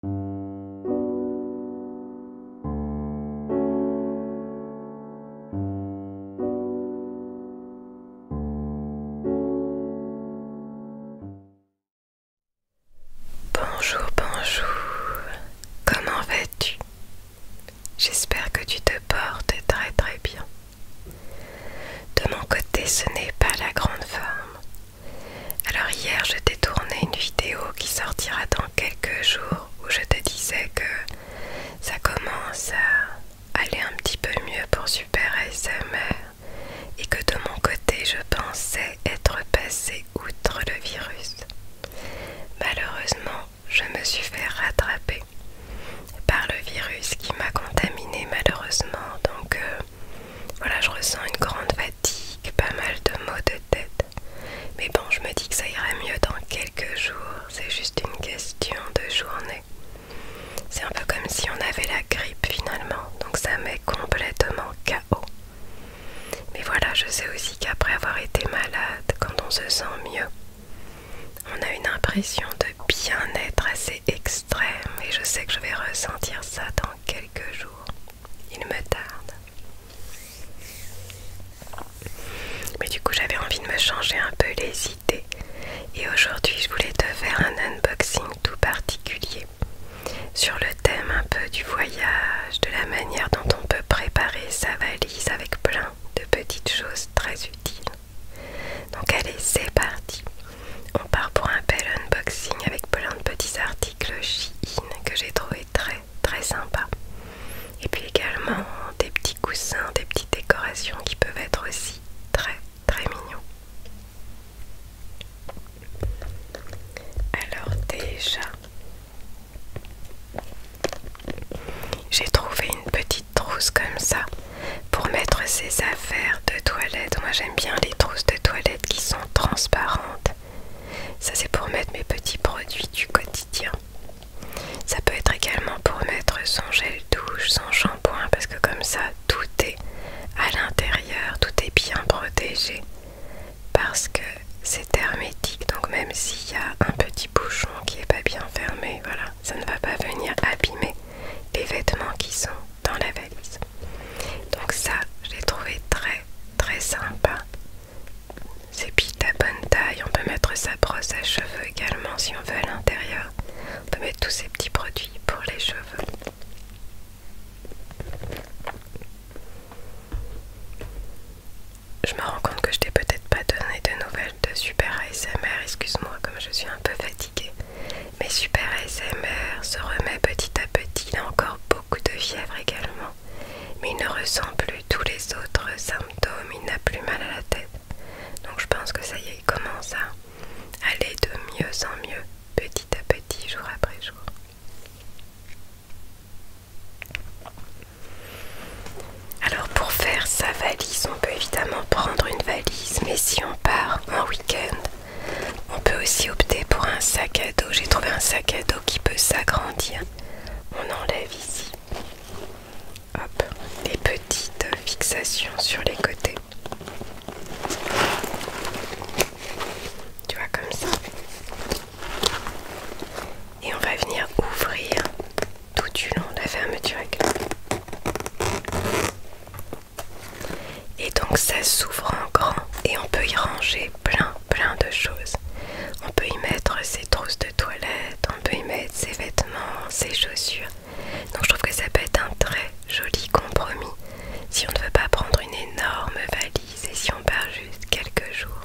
Bonjour, bonjour, comment vas-tu J'espère que tu te portes très très bien. De mon côté, ce n'est pas la grande forme, alors hier, je t'ai tourné une vidéo qui sortira dans quelques jours où je te disais que ça commence à aller un petit peu mieux pour Super SMR et que de mon côté, je pensais être passé outre le virus. Malheureusement, je me suis fait rattraper par le virus qui m'a contaminé malheureusement, donc euh, voilà, je ressens une grande fatigue, pas mal de maux de tête. Mais bon, je me dis que ça irait mieux dans quelques jours, c'est juste une question de journée. C'est un peu comme si on avait la grippe finalement, donc ça met complètement KO. Mais voilà, je sais aussi qu'après avoir été malade, quand on se sent mieux, on a une impression de bien-être assez extrême et je sais que je vais ressentir ça dans quelques jours il me tarde. Mais du coup, j'avais envie de me changer un peu les idées. Et aujourd'hui, je voulais te faire un unboxing tout particulier sur le thème un peu du voyage, de la manière dont on peut préparer sa valise avec plein de petites choses très utiles. Donc allez, c'est parti. On part pour un bel unboxing avec plein de petits articles cloche que j'ai trouvé très très sympa. Et puis également des petits coussins, des petites décorations qui peuvent être aussi très très mignons. Alors déjà, j'ai trouvé une petite trousse comme ça pour mettre ses affaires de toilette. Moi j'aime bien les trousses de toilette qui sont transparentes ça c'est pour mettre mes petits produits du quotidien. Ça peut être également pour mettre son gel douche, son shampoing, parce que comme ça tout est à l'intérieur, tout est bien protégé. Parce que c'est hermétique, donc même s'il y a un petit bouchon qui n'est pas bien fermé, voilà, ça ne va pas venir abîmer les vêtements qui sont dans la valise. Donc ça, je l'ai trouvé très très sympa. C'est pile à bonne taille, on peut mettre sa brosse à cheveux également si on veut à l'intérieur. On peut mettre tous ces petits produits pour les cheveux. Je me rends compte que je t'ai peut-être pas donné de nouvelles de Super ASMR, excuse-moi comme je suis un peu fatiguée. Mais Super S.M.R. se remet petit à petit, il a encore beaucoup de fièvre également, mais il ne ressent plus tous les autres symptômes, il n'a plus mal à la tête. Donc je pense que ça y est, il commence à aller de mieux en mieux, petit à petit, jour après jour. Alors pour faire sa valise, on peut évidemment prendre une valise, mais si on part en week-end, on peut aussi opter pour un sac à dos. J'ai trouvé un sac à dos qui peut s'agrandir. On enlève ici. Hop, des petites fixations sur les côtés. Tu vois comme ça. Et on va venir ouvrir tout du long la fermeture. Et donc ça s'ouvre en grand et on peut y ranger plein plein de choses. On peut y mettre ses trousses de toilette, on peut y mettre ses vêtements, ses chaussures. Donc je trouve que ça peut être un très joli compromis si on ne veut pas prendre une énorme valise et si on part juste quelques jours.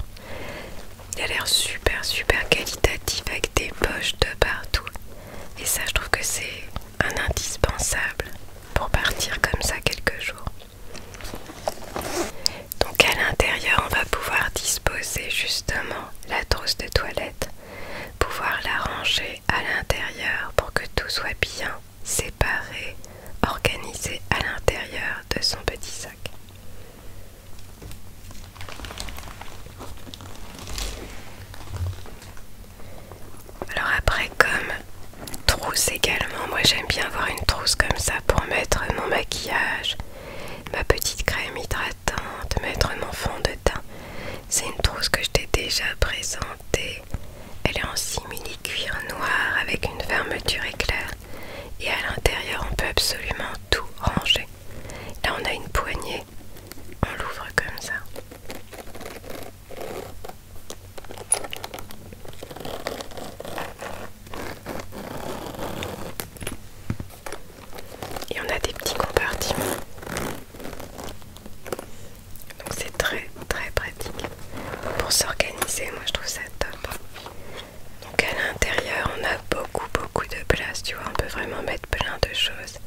Il a l'air super super qualitatif avec des poches de partout. Et ça je trouve que c'est un indispensable pour partir comme ça quelques jours. Donc à l'intérieur, on va pouvoir disposer justement la trousse de toilette, pouvoir l'arranger à l'intérieur pour que tout soit bien séparé, organisé à l'intérieur de son petit sac. Alors après comme trousse également, moi j'aime bien avoir une trousse comme ça pour mettre mon maquillage, ma petite crème hydratante, mettre mon fond de teint. C'est une trousse que je t'ai déjà présentée. Elle est en simili cuir noir avec une fermeture éclair et à l'intérieur on peut absolument tout ranger. Là on a une poignée, on l'ouvre comme ça. Et on a des petits compartiments. Donc c'est très très pratique pour s'organiser. Moi je trouve ça top. Donc à l'intérieur on a beaucoup beaucoup de place. Tu vois, on peut vraiment mettre plein de choses.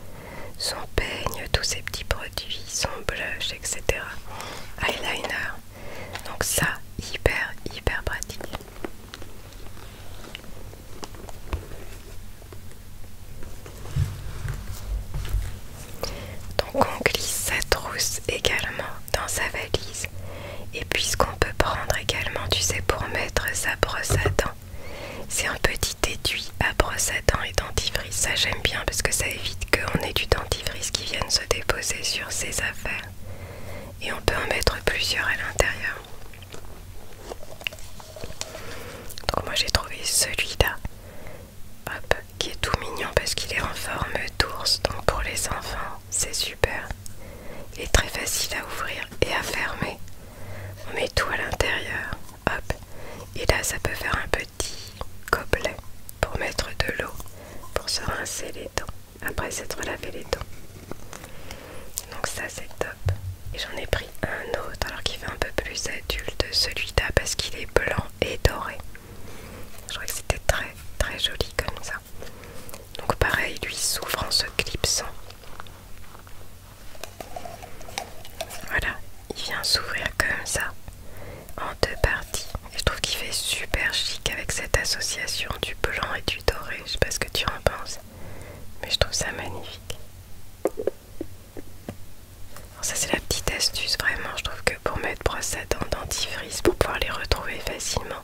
Son peigne, tous ses petits produits, son blush, etc. Eyeliner. Donc ça, hyper, hyper pratique. Donc on glisse sa trousse également dans sa valise. Et puis qu'on peut prendre également, tu sais, pour mettre sa brosse à dents, c'est un petit étui à brosse à dents et dentifrice. Ça j'aime bien parce que ça évite qu'on ait du dentifrice qui vienne se déposer sur ses affaires. Et on peut en mettre plusieurs à l'intérieur. Donc moi j'ai trouvé celui-là. qui est tout mignon parce qu'il est en forme d'ours. Donc pour les enfants, c'est super. Il est très facile à ouvrir et à fermer. On met tout à l'intérieur. Hop. Et là, ça peut faire un petit gobelet pour mettre de l'eau, pour se rincer les dents, après s'être lavé les dents. Donc ça, c'est top. Et j'en ai pris un autre, alors qu'il fait un peu plus adulte, celui-là, parce qu'il est blanc et doré. Je crois que c'était très, très joli comme ça. Donc pareil, lui s'ouvre en se clipsant. Voilà, il vient s'ouvrir comme ça, en deux parties. Et je trouve qu'il fait super chic avec cette association du blanc et du doré. Je sais pas ce que tu en penses, mais je trouve ça magnifique. Alors ça c'est la petite astuce vraiment, je trouve que pour mettre brosse à dents, dentifrice, pour pouvoir les retrouver facilement,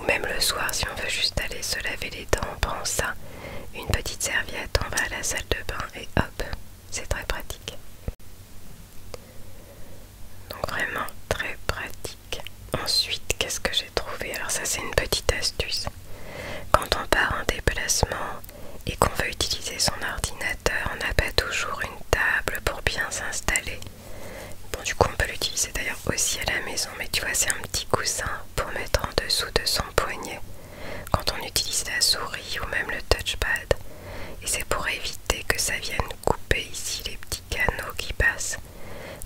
ou même le soir si on veut juste aller se laver les dents, on prend ça, une petite serviette, on va à la salle de bain et hop, c'est très pratique. Donc vraiment très pratique. Ensuite, qu'est-ce que j'ai trouvé Alors ça c'est une petite astuce. Quand on part en déplacement et qu'on veut utiliser son ordinateur, on n'a pas toujours une table pour bien s'installer. Bon du coup on peut l'utiliser d'ailleurs aussi à la maison, mais tu vois c'est un petit coussin pour mettre en dessous de son poignet quand on utilise la souris ou même le touchpad. Et c'est pour éviter que ça vienne couper ici les petits canaux qui passent,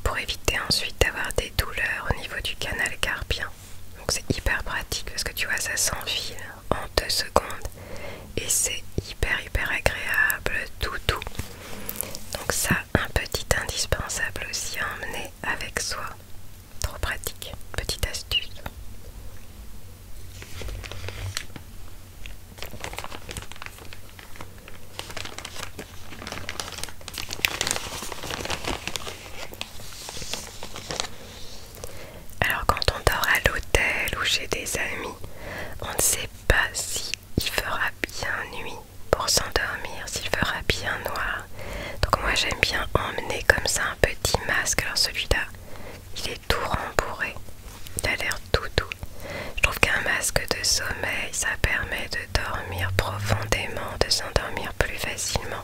pour éviter ensuite d'avoir des douleurs au niveau du canal carpien. Donc c'est hyper pratique parce que tu vois ça s'enfile en deux secondes et c'est hyper hyper agréable tout tout. Donc ça un petit indispensable aussi à emmener avec soi. Trop pratique, petite astuce. Alors quand on dort à l'hôtel ou chez des amis, on ne sait pas si il fera bien nuit pour s'endormir, s'il fera bien noir. Donc moi j'aime bien emmener comme ça un petit masque. Alors celui-là, il est tout rembourré. Il a l'air tout doux. Je trouve qu'un masque de sommeil, ça permet de dormir profondément, de s'endormir plus facilement.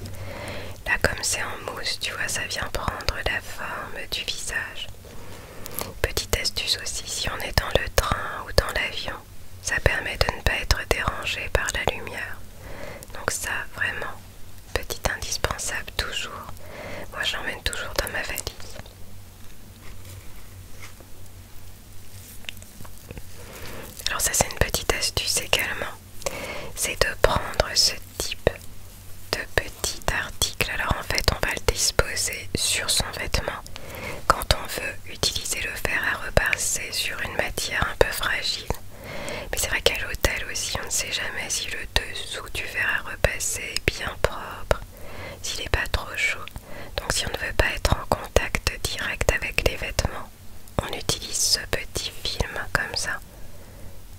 Là, comme c'est en mousse, tu vois, ça vient prendre la forme du visage. Petite astuce aussi, si on est dans le train ou dans l'avion, ça permet de ne pas être dérangé par la lumière. Donc ça, vraiment, Petit indispensable toujours. Moi j'emmène toujours dans ma valise. Alors ça c'est une petite astuce également. C'est de prendre ce type de petit article. Alors en fait on va le disposer sur son vêtement. Quand on veut utiliser le fer à repasser sur une matière un peu fragile, mais c'est vrai qu'à l'hôtel aussi, on ne sait jamais si le dessous du verre à repasser est bien propre, s'il n'est pas trop chaud. Donc si on ne veut pas être en contact direct avec les vêtements, on utilise ce petit film comme ça,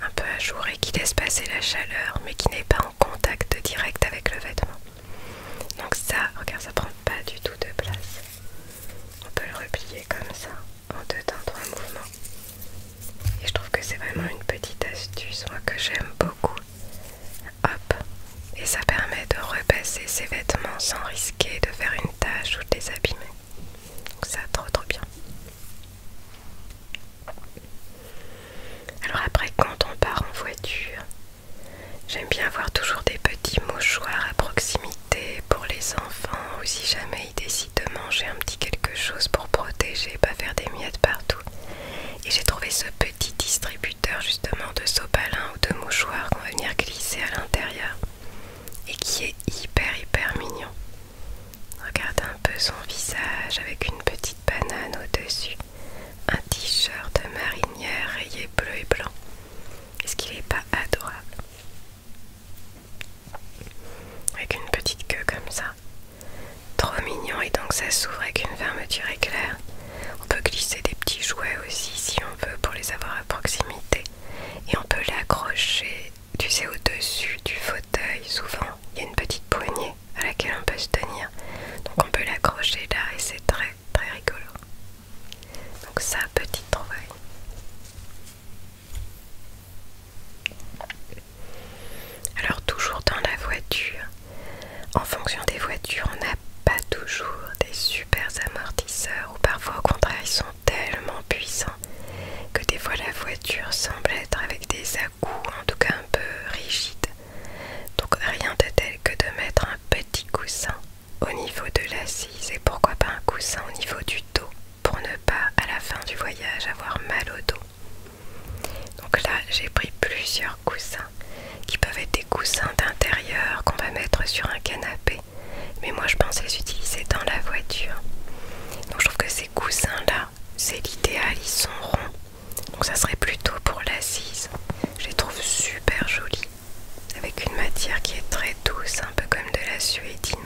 un peu ajouré qui laisse passer la chaleur mais qui n'est pas en contact direct avec le vêtement. Donc ça, regarde, ça prend pas du tout de place. On peut le replier comme ça en deux temps trois mouvements et je trouve que c'est vraiment une petite astuce moi que j'aime beaucoup hop et ça permet de repasser ses vêtements sans risquer de faire une tâche ou de les abîmer donc ça trop trop bien alors après quand on part en voiture J'aime bien avoir toujours des petits mouchoirs à proximité pour les enfants ou si jamais décide de manger un petit quelque chose pour protéger, pas faire des miettes partout. Et j'ai trouvé ce petit distributeur justement de sopalin ou de mouchoirs qu'on va venir glisser à l'intérieur et qui est hyper hyper mignon. Regarde un peu son visage avec une petite banane au-dessus, un t-shirt de marinière rayé bleu et blanc. Est-ce qu'il n'est pas adorable avec une petite queue comme ça. Trop mignon et donc ça s'ouvre avec une fermeture éclair. On peut glisser des petits jouets aussi si on veut pour les avoir à proximité. Et on peut l'accrocher, tu sais, au-dessus du fauteuil. Souvent, il y a une petite poignée à laquelle on peut se tenir. Donc on peut l'accrocher là et c'est très très rigolo. Donc ça, petite trouvaille. Alors toujours dans la voiture, en fonction des voitures, on n'a pas toujours des super amortisseurs ou parfois au contraire ils sont tellement puissants que des fois la voiture semble être avec des à en tout cas un peu rigide. Donc rien de tel que de mettre un petit coussin au niveau de l'assise et pourquoi pas un coussin au niveau du dos pour ne pas à la fin du voyage avoir mal au dos. Donc là j'ai pris plusieurs coussins qui peuvent être des coussins d'intérieur qu'on va mettre sur un canapé. Mais moi je pense les utiliser dans la voiture. Donc je trouve que ces coussins là, c'est l'idéal, ils sont ronds. Donc ça serait plutôt pour l'assise. Je les trouve super jolis. Avec une matière qui est très douce, un peu comme de la suédine.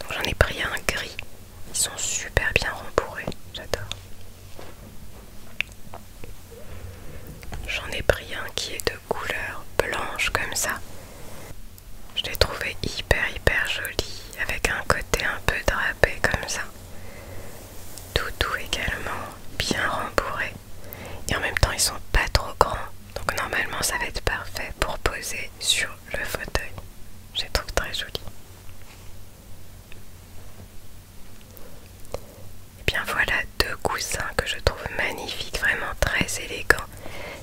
Donc j'en ai pris un gris. Ils sont super bien rembourrés, j'adore. J'en ai pris un qui est de couleur blanche comme ça. Je l'ai trouvé hyper hyper joli, avec un côté un peu drapé comme ça. Tout doux également, bien rembourré. Et en même temps ils sont pas trop grands, donc normalement ça va être parfait pour poser sur le fauteuil. Je les trouve très joli. Et eh bien voilà deux coussins que je trouve magnifiques, vraiment très élégants.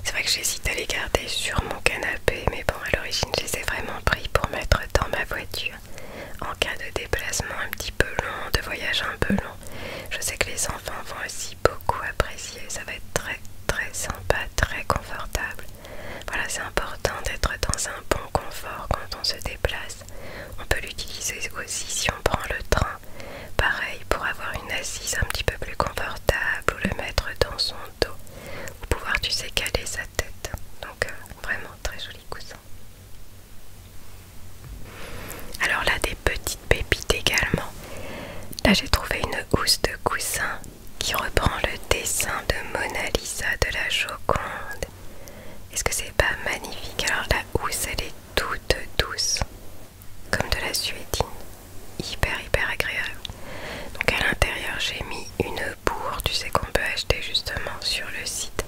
C'est vrai que j'hésite à les garder sur mon canapé, mais bon à l'origine je les ai vraiment pris pour mettre dans ma voiture. En cas de déplacement un petit peu long, de voyage un peu long. Je sais que les enfants vont aussi beaucoup apprécié. Ça va être très très sympa, très confortable. Voilà, c'est important d'être dans un bon confort quand on se déplace. On peut l'utiliser aussi si on prend le train. Pareil, pour avoir une assise un petit peu plus confortable ou le mettre dans son dos. pour pouvoir, tu sais, caler sa tête. Donc, euh, vraiment très joli coussin. Alors là, des petits pépite également. Là j'ai trouvé une housse de coussin qui reprend le dessin de Mona Lisa de la Joconde. Est-ce que c'est pas magnifique Alors la housse elle est toute douce, comme de la suédine, hyper hyper agréable. Donc à l'intérieur j'ai mis une bourre, tu sais qu'on peut acheter justement sur le site.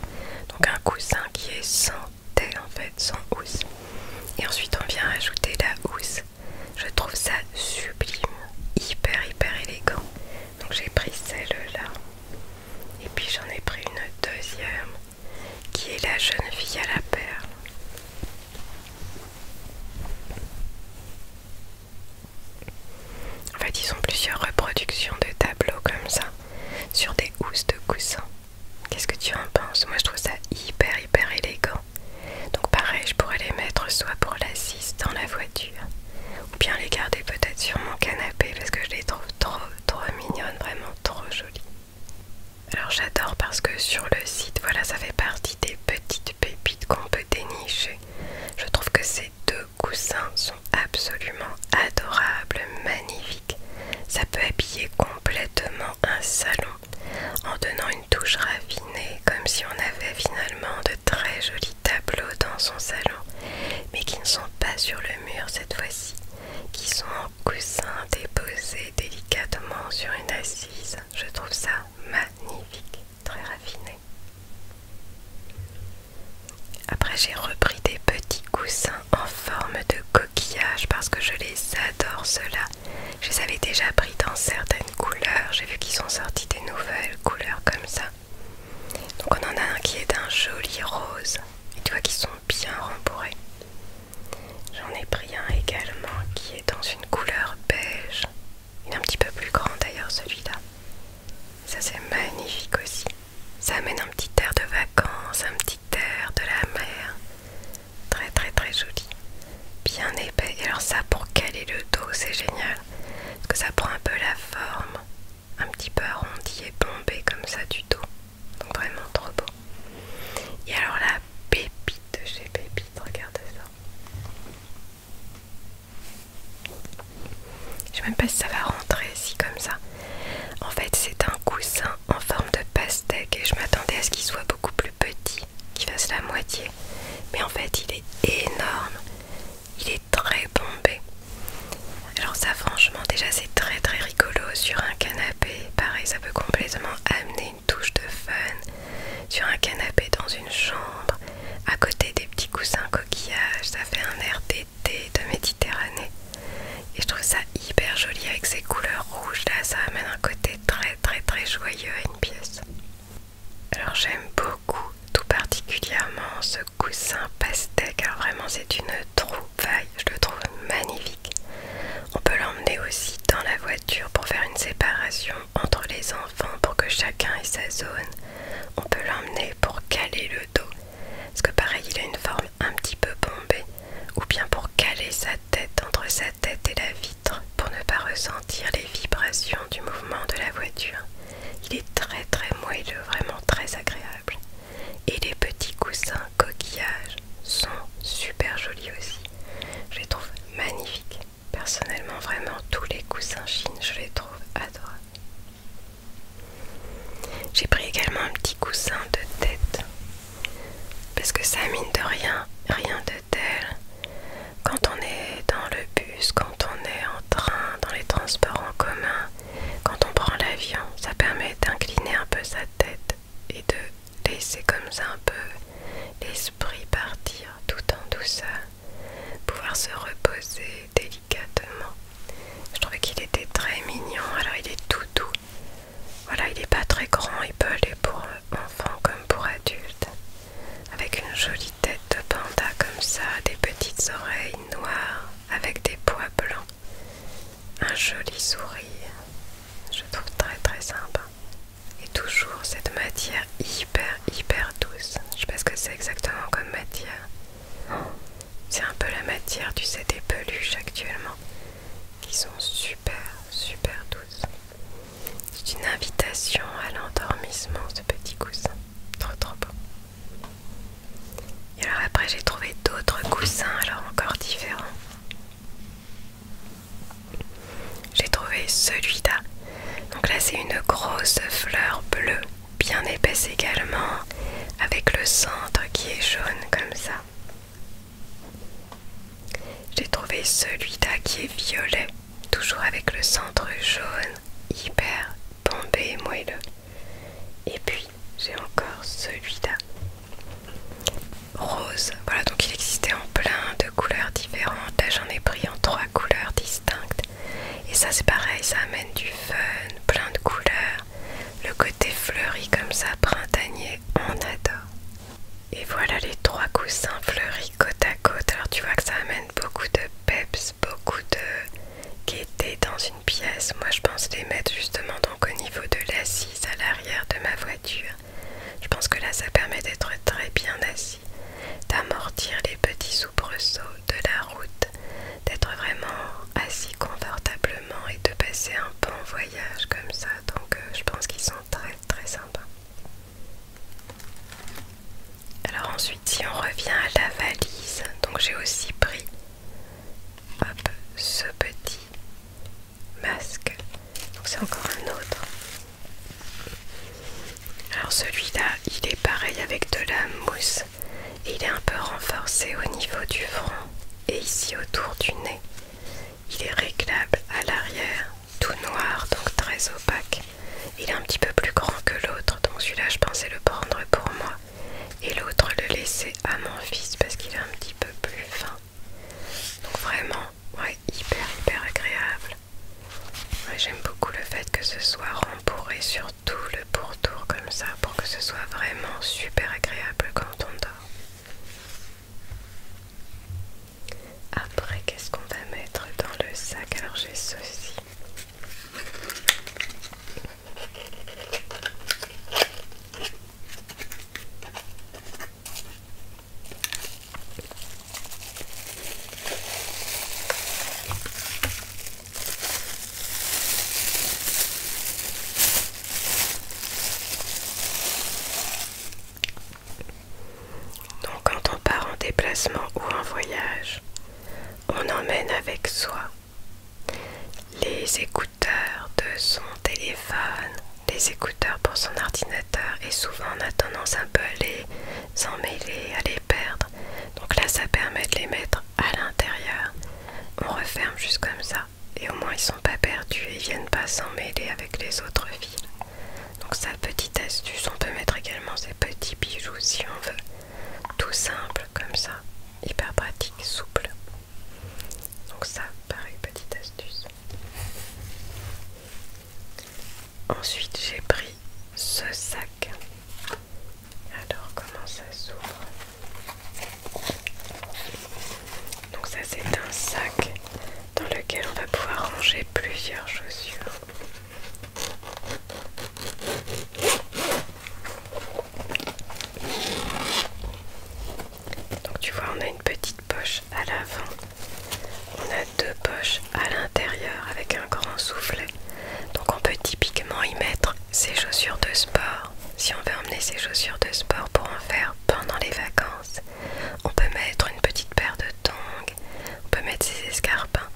Donc un coussin qui est sans en fait sans housse et ensuite on vient ajouter la housse je trouve ça sublime, hyper hyper élégant. Donc j'ai pris celle-là. Et puis j'en ai pris une deuxième qui est la jeune fille à la perle. En fait, ils ont plusieurs reproductions de tableaux comme ça sur des housses de coussin. Qu'est-ce que tu en penses Moi je trouve ça hyper hyper élégant. Donc pareil, je pourrais les mettre soit pour l'assise dans la voiture, ou bien les garder peut-être sur mon canapé parce que je les trouve trop trop mignonnes, vraiment trop jolies. Alors j'adore parce que sur le site, voilà, ça fait partie des petites pépites qu'on peut dénicher. Je trouve que ces deux coussins sont absolument adorables, magnifiques. Ça peut habiller complètement un salon en donnant une touche raffinée comme si on avait finalement de très jolis tableaux dans son salon, mais qui ne sont pas sur le mur cette fois-ci, qui sont en coussins déposés délicatement sur une assise. Je trouve ça magnifique, très raffiné. Après j'ai repris des petits coussins en forme de coquillage parce que je les adore cela je les avais déjà pris dans certaines couleurs. J'ai vu qu'ils sont sortis des nouvelles couleurs comme ça. Donc on en a un qui est d'un joli rose. Et tu vois qu'ils sont bien rembourrés. J'en ai pris un également qui est dans une couleur beige. Il est un petit peu plus grand d'ailleurs celui-là. Ça c'est magnifique aussi. Ça amène un petit air de vacances, un petit air de la mer. Très très très joli. Bien épais. Et alors ça pour caler le dos, c'est génial. Parce que ça prend un peu la forme. Un petit peu arrondi et bombé comme ça du dos. Donc vraiment trop beau. Et alors la pépite de chez Pépite, Regarde ça. Je sais même pas si ça va rentrer ici comme ça. En fait, c'est un coussin en forme de pastèque et je m'attendais à ce qu'il soit beaucoup plus petit qui fasse la moitié mais en fait il est énorme il est très bombé alors ça franchement déjà c'est très très rigolo sur un canapé pareil ça peut complètement amener une touche de fun sur un canapé dans une chambre à côté des petits coussins coquillages ça fait un air d'été de Méditerranée et je trouve ça hyper joli avec ces couleurs rouges là ça amène un côté très très très joyeux à une pièce. Alors j'aime beaucoup tout particulièrement ce coussin pastèque. Alors vraiment c'est une trouvaille, je le trouve magnifique. On peut l'emmener aussi dans la voiture pour faire une séparation entre les enfants pour que chacun ait sa zone. On peut l'emmener pour caler le dos, parce que pareil il a une forme un petit peu bombée, ou bien pour caler sa tête entre sa tête et la vitre pour ne pas ressentir les vibrations du mouvement de la voiture. Il est très très moelleux, vraiment très agréable. Et les petits coussins coquillages sont super jolis aussi. Je les trouve magnifiques. Personnellement, vraiment, tous les coussins Chine, je les trouve adorables. J'ai pris également un petit coussin de tête parce que ça mine de rien, rien de tel. Quand on est dans le bus, quand on est en train, dans les transports en commun, quand on prend l'avion, ça permet d'incliner un peu sa tête et de laisser comme ça un peu l'esprit partir tout en douceur, pouvoir se reposer délicatement. Je trouvais qu'il était très mignon, alors il est tout doux, voilà, il n'est pas très grand, il peut aller pour enfants comme pour adultes. Avec une jolie tête de panda comme ça, des petites oreilles noires avec des pois blancs. Un joli sourire. Je trouve très très sympa. Et toujours cette matière hyper hyper douce. Je sais pas ce que c'est exactement comme matière. C'est un peu la matière, du CD peluche actuellement qui sont super, super douces. C'est une invitation à l'endormissement, ce petit coussin. Trop, trop beau. Et alors après, j'ai trouvé d'autres coussins, alors encore différents. J'ai trouvé celui-là. Donc là, c'est une grosse fleur bleue, bien épaisse également, avec le centre qui est jaune comme ça. J'ai trouvé celui-là qui est violet, toujours avec le centre jaune, hyper bombé et moelleux. Et puis j'ai encore celui-là. Rose, voilà donc il existait en plein de couleurs différentes. j'en ai pris en trois couleurs distinctes. Et ça c'est pareil, ça amène du fun, plein de couleurs. Le côté fleuri comme ça, printanier, on adore. Et voilà les trois coussins fleuris côte à côte. Alors tu vois que ça amène beaucoup de peps, beaucoup de gaieté dans une pièce. Moi je pense les mettre justement donc au niveau de l'assise à l'arrière de ma voiture. Je pense que là ça permet d'être très bien assis, d'amortir les petits soubresauts de la route, d'être vraiment assis confortablement et de passer un bon voyage comme ça. Donc euh, je pense qu'ils sont très très sympas. Alors ensuite si on revient à la valise, donc j'ai aussi pris ce petit masque. c'est encore un autre. Alors celui-là, il est pareil avec de la mousse et il est un peu renforcé au niveau du front et ici autour du nez. Il est réglable à l'arrière, tout noir, donc très opaque. Il est un petit peu plus grand que l'autre, donc celui-là je pensais le prendre pour moi. Et l'autre le laisser à mon fils parce qu'il est un petit peu plus fin. Donc vraiment, ouais, hyper hyper agréable. J'aime beaucoup le fait que ce soit rembourré sur tout le pourtour comme ça pour que ce soit vraiment super agréable quand on dort. Après, qu'est-ce qu'on va mettre dans le sac Alors, j'ai ceci. Donc quand on part en déplacement ou en voyage, on emmène avec soi les écouteurs de son téléphone, les écouteurs pour son ordinateur et souvent on a tendance un peu à les emmêler, à les perdre. Donc là ça permet de les mettre à l'intérieur. On referme juste comme ça et au moins ils sont pas perdus et ils viennent pas s'emmêler avec les autres fils. Donc ça petite astuce, on peut mettre également ces petits bijoux si on veut. Tout simple comme ça, hyper pratique, souple. Donc ça, pareil, petite astuce. Ensuite j'ai pris ce sac. Alors comment ça s'ouvre donc ça c'est un sac dans lequel on va pouvoir ranger plusieurs chaussures. Donc tu vois on a une petite poche à l'avant, on a deux poches à l'intérieur avec un grand soufflet. Donc on peut typiquement y mettre ses chaussures de sport, si on veut emmener ses chaussures de sport pour en faire pendant les vacances, on peut mettre une petite paire de tongs, on peut mettre ses escarpins.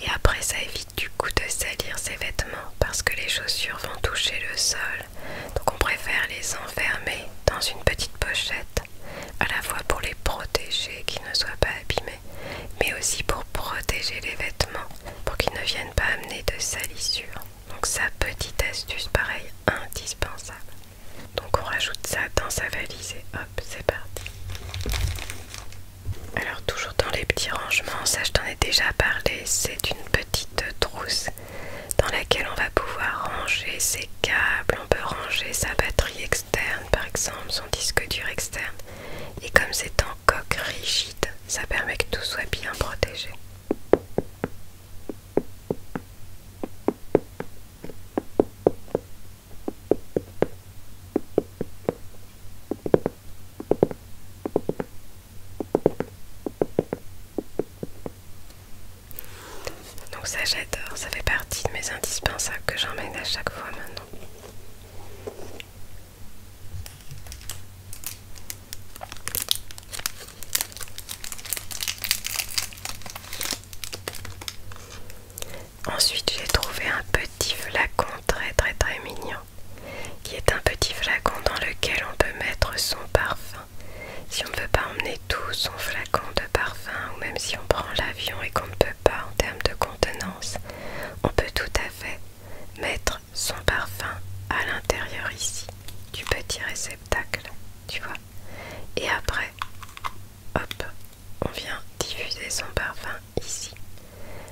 Et après, ça évite du coup de salir ses vêtements parce que les chaussures vont toucher le sol. Donc on préfère les enfermer dans une petite pochette, à la fois pour les protéger qu'ils ne soient pas abîmés, mais aussi pour protéger les vêtements, pour qu'ils ne viennent pas amener de salissures. Donc sa petite astuce, pareil, indispensable. Donc on rajoute ça dans sa valise et hop, c'est parti. Alors toujours dans les petits rangements, ça je t'en ai déjà parlé, c'est une petite trousse dans laquelle on va pouvoir ranger ses câbles, on peut ranger sa batterie externe par exemple, son disque dur externe. Et comme c'est en coque rigide, ça permet que tout soit bien protégé. Donc ça j'adore, ça fait partie de mes indispensables que j'emmène à chaque fois maintenant. Ensuite, j'ai trouvé un petit flacon très très très mignon, qui est un petit flacon dans lequel on peut mettre son parfum. Si on ne veut pas emmener tout son flacon de parfum, ou même si on prend l'avion et qu'on ne peut pas en termes de contenance, on peut tout à fait mettre son parfum à l'intérieur ici du petit réceptacle, tu vois. Et après, hop, on vient diffuser son parfum ici.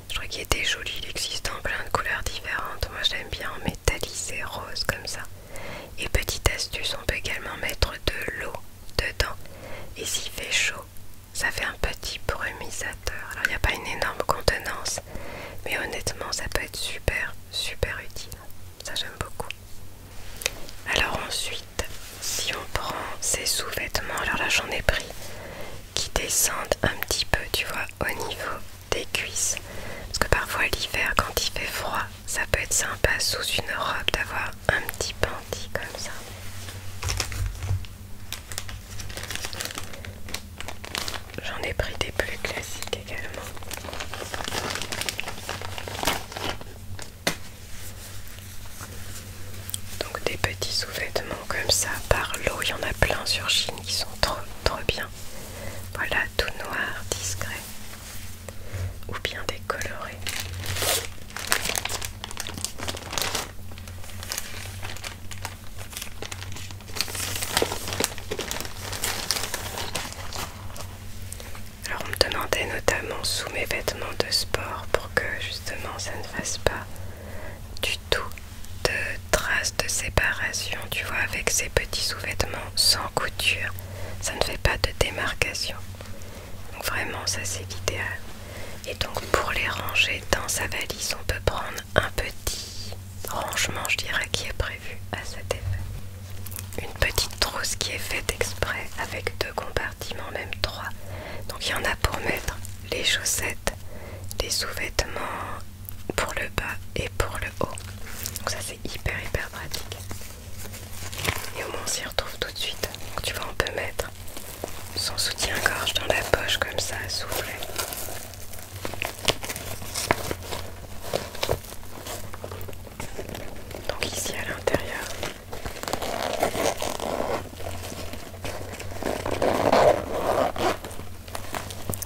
Je crois qu'il était joli, il existe en plein de couleurs différentes. Moi j'aime bien en métallisé rose comme ça. Et petite astuce, on peut également mettre de l'eau dedans. Et s'il fait chaud, ça fait un petit brumisateur. Alors il n'y a pas une énorme contenance, mais honnêtement, ça peut être super, super utile. Ça, j'aime beaucoup. Alors ensuite, si on prend ces sous-vêtements, alors là, j'en ai pris, qui descendent un petit peu, tu vois, au niveau des cuisses. Parce que parfois, l'hiver, quand il fait froid, ça peut être sympa sous une robe d'avoir un petit panty comme ça. J'en ai pris des plus classiques également. Donc des petits sous-vêtements comme ça par l'eau, il y en a plein sur Chine qui sont trop trop bien. Voilà, tout noir, discret ou bien décoloré. Alors on me demandait notamment sous mes vêtements de sport pour que justement ça ne fasse pas du tout de traces de séparation, tu vois, avec ces petits sous-vêtements sans couture. Ça ne fait pas de démarcation. Donc vraiment ça c'est l'idéal. Et donc pour les ranger dans sa valise, on peut prendre un petit rangement je dirais qui est prévu à cet effet. Une petite trousse qui est faite exprès avec deux compartiments, même trois. Donc il y en a pour mettre les chaussettes, les sous-vêtements pour le bas et pour le haut. Donc ça c'est hyper hyper pratique. Et au moins on s'y retrouve tout de suite. Donc tu vois on peut mettre son soutien-gorge dans la poche comme ça à souffler. Donc ici à l'intérieur.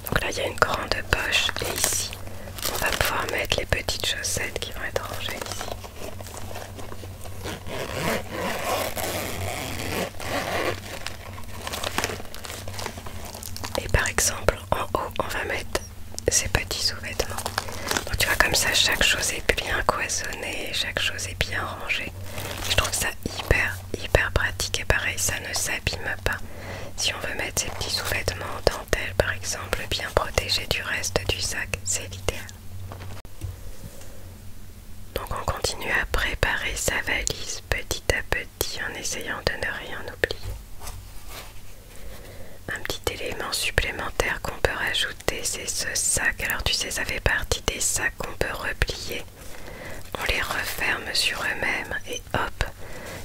Donc là il y a une grande poche et ici on va pouvoir mettre les petites chaussettes qui vont être rangées ici. Et par exemple, en haut, on va mettre ces petits sous-vêtements. Donc tu vois, comme ça, chaque chose est bien coisonnée, chaque chose est bien rangée. je trouve ça hyper, hyper pratique. Et pareil, ça ne s'abîme pas. Si on veut mettre ces petits sous-vêtements en dentelle, par exemple, bien protégés du reste du sac, c'est l'idéal. Donc on continue à préparer sa valise petit à petit en essayant de ne rien oublier. Un petit élément supplémentaire qu'on peut rajouter, c'est ce sac. Alors tu sais, ça fait partie des sacs qu'on peut replier. On les referme sur eux-mêmes et hop,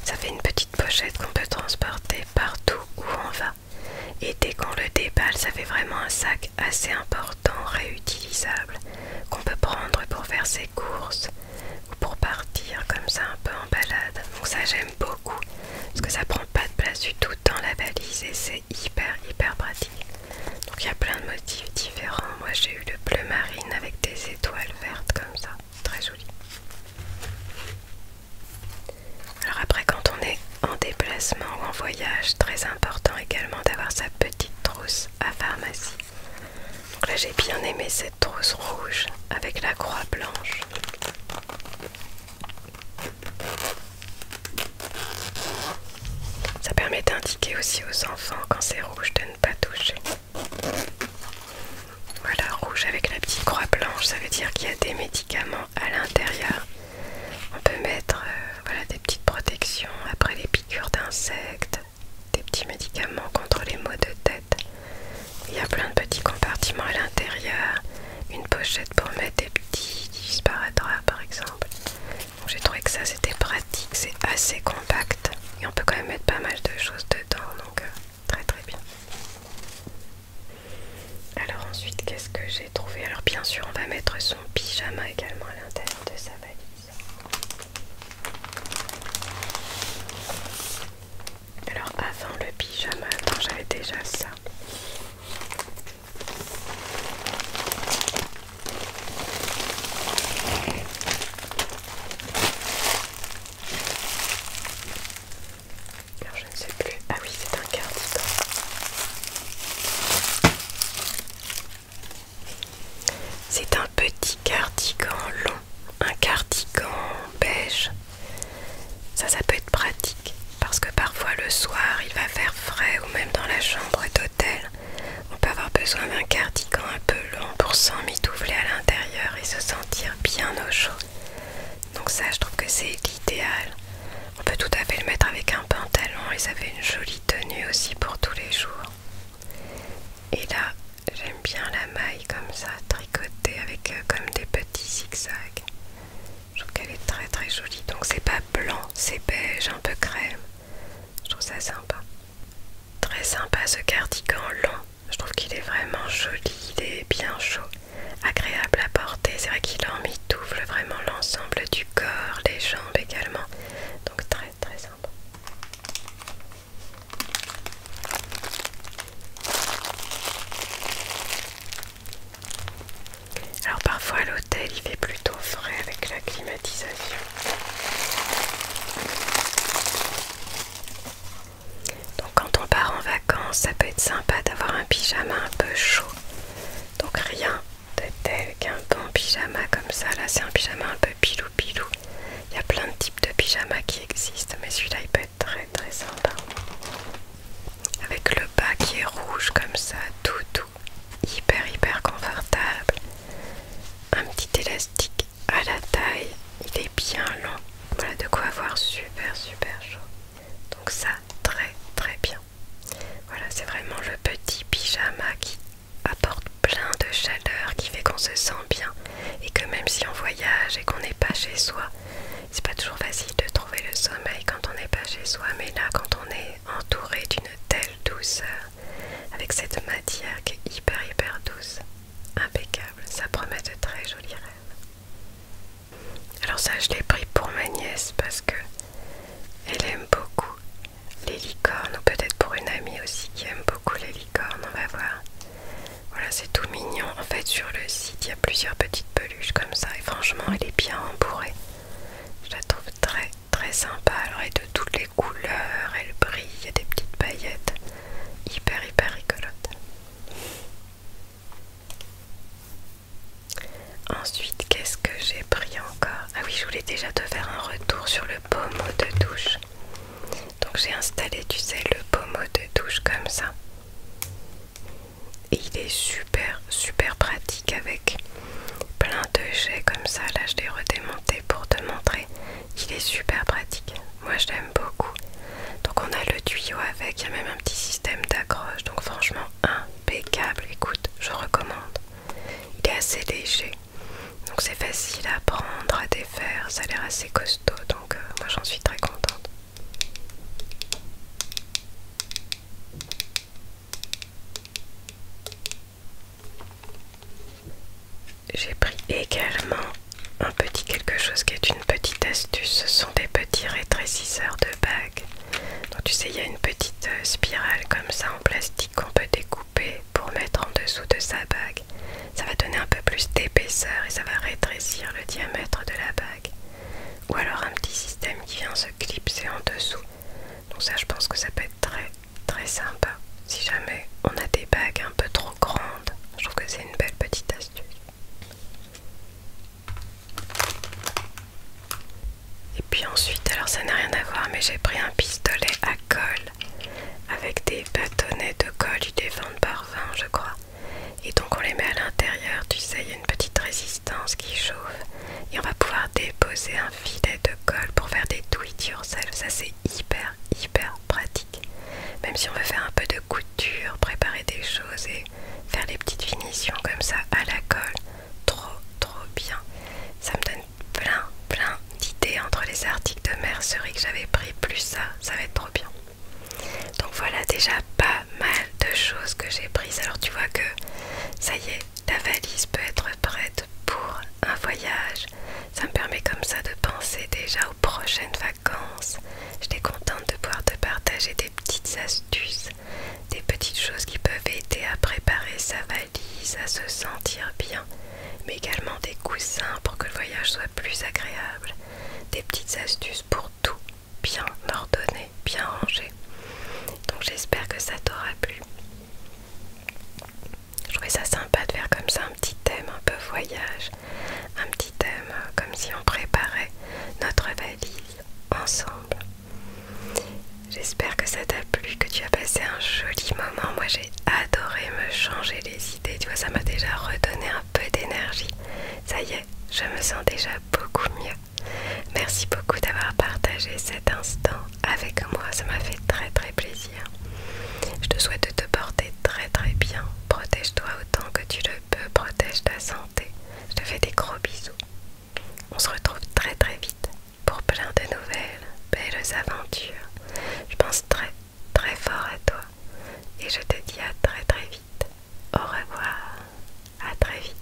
ça fait une petite pochette qu'on peut transporter partout où on va. Et dès qu'on le déballe, ça fait vraiment un sac assez important, réutilisable, qu'on peut prendre pour faire ses courses, ou pour partir comme ça un peu en balade. Donc ça j'aime beaucoup parce que ça prend pas de place du tout dans la valise et c'est hyper hyper pratique. Donc il y a plein de motifs différents. Moi j'ai eu le bleu marine avec des étoiles vertes comme ça, très joli. Alors après quand on est en déplacement ou en voyage, très important également d'avoir sa petite trousse à pharmacie donc là j'ai bien aimé cette trousse rouge avec la croix blanche. Ça permet d'indiquer aussi aux enfants quand c'est rouge de ne pas toucher. Voilà, rouge avec la petite croix blanche, ça veut dire qu'il y a des médicaments à l'intérieur. On peut mettre euh, voilà, des petites protections après les piqûres d'insectes, des petits médicaments contre les maux de tête. Il y a plein de petits compartiments à l'intérieur, une pochette pour mettre des petits disparateurs par exemple. J'ai trouvé que ça c'était pratique, c'est assez compact et on peut quand même mettre pas mal de choses dedans, donc euh, très très bien. Alors ensuite, qu'est-ce que j'ai trouvé Alors bien sûr, on va mettre son pyjama également à l'intérieur de sa valise. Alors avant le pyjama, j'avais déjà ça. Alors je ne sais plus. Ah oui, c'est un cardigan. C'est un petit cardigan long, un cardigan beige. Ça, ça peut être pratique parce que parfois le soir il va faire frais ou même dans la chambre d'hôtel. On peut avoir besoin d'un cardigan un peu long pour s'emmitoufler à l'intérieur et se sentir bien au chaud. Donc ça, je trouve que c'est l'idéal. On peut tout à fait le mettre avec un pantalon et ça fait une jolie tenue aussi pour tous les jours. Et là, j'aime bien la maille comme ça, tricotée avec euh, comme des petits zigzags. Je trouve qu'elle est très très jolie. Donc c'est pas blanc, c'est beige, un peu crème. Je trouve ça sympa. Très sympa ce cardigan long. Je trouve qu'il est vraiment joli, il est bien chaud, agréable à porter. C'est vrai qu'il mitoufle vraiment l'ensemble du corps, les jambes également. Donc très très sympa. Alors parfois à l'hôtel il fait plutôt frais avec la climatisation. Donc quand on part en vacances ça peut être sympa d'avoir un pyjama un peu chaud. Donc rien de tel qu'un bon pyjama comme ça. Là c'est un pyjama un peu pilou pilou. Il y a plein de types de pyjamas qui existent, mais celui-là il peut être très très sympa. Avec le bas qui est rouge comme ça, tout tout, hyper hyper confortable. Un petit élastique à la taille, il est bien long. Voilà de quoi avoir super super chaud. Donc ça, très très bien. Voilà, c'est vraiment le petit pyjama qui apporte plein de chaleur qui fait qu'on se sent bien et que même si on voyage et qu'on n'est pas chez soi, c'est pas toujours facile de trouver le sommeil quand on n'est pas chez soi, mais là quand on est entouré d'une telle douceur, avec cette matière qui est hyper hyper douce, impeccable, ça promet de très jolis rêves. Alors ça je l'ai pris pour ma nièce parce que elle aime beaucoup les licornes, ou peut-être pour une amie aussi qui aime beaucoup les licornes, on va voir. Voilà, c'est tout mignon. En fait, sur le site, il y a plusieurs petites peluches comme ça. Et franchement, elle est bien embourrée. Je la trouve très, très sympa. Alors, elle est de toutes les couleurs. Elle brille. Il y a des petites paillettes. Hyper, hyper rigolote. Ensuite, qu'est-ce que j'ai pris ah oui, je voulais déjà te faire un retour sur le pommeau de douche. Donc j'ai installé, tu sais, le pommeau de douche comme ça. Et il est super, super pratique avec plein de jets comme ça. Là, je l'ai redémonté pour te montrer. qu'il est super pratique. Moi, je l'aime beaucoup. Donc on a le tuyau avec, il y a même un petit système d'accroche. Donc franchement, impeccable. Écoute, je recommande. Il est assez léger. Donc c'est facile à prendre, à défaire, ça a l'air assez costaud, donc euh, moi j'en suis très contente. J'ai pris également un petit quelque chose qui est une petite astuce, ce sont des petits rétrécisseurs de bague. Donc tu sais, il y a une petite euh, spirale comme ça en plastique qu'on peut découper pour mettre en dessous de sa bague. Ça va donner un peu plus d'épaisseur et ça va rétrécir le diamètre de la bague. Ou alors un petit système qui vient se clipser en dessous. Donc ça je pense que ça peut être très très sympa. Si jamais on a des bagues un peu trop grandes, je trouve que c'est une belle petite astuce. Et puis ensuite, alors ça n'a rien à voir, mais j'ai pris un pistolet à colle avec des bâtonnets de colle, du des par vin, je crois. Et donc on les met à l'intérieur, tu sais, il y a une petite résistance qui chauffe. Et on va pouvoir déposer un filet de colle pour faire des do yourself. Ça c'est hyper hyper pratique. Même si on veut faire un peu de couture, préparer des choses et faire des petites finitions comme ça à la colle, trop trop bien. Ça me donne plein plein d'idées entre les articles de mercerie que j'avais pris, plus ça, ça va être trop bien. Donc voilà déjà pas mal de choses que j'ai prises. Alors tu vois que ça y est, la valise peut être prête pour un voyage. Ça me permet comme ça de penser déjà aux prochaines vacances. Je suis contente de pouvoir te partager des petites astuces, des petites choses qui peuvent aider à préparer sa valise à se sentir bien, mais également des coussins pour que le voyage soit plus agréable, des petites astuces pour tout bien ordonné, bien rangé. Donc j'espère que ça t'aura plu. Je trouvais ça sympa de faire comme ça un petit thème un peu voyage, un petit thème euh, comme si on préparait notre valise ensemble. J'espère que ça t'a plu, que tu as passé un joli moment. Moi j'ai adoré me changer les idées, tu vois, ça m'a déjà redonné un peu d'énergie. Ça y est, je me sens déjà beaucoup mieux. Merci beaucoup d'avoir partagé cet instant avec moi, ça m'a fait très très plaisir. Je te souhaite de te porter très très bien. Protège-toi autant que tu le peux, protège ta santé. Je te fais des gros bisous. On se retrouve très très vite pour plein de nouvelles, belles aventures. Je pense très, très fort à toi et je te dis à très, très vite. Au revoir, à très vite.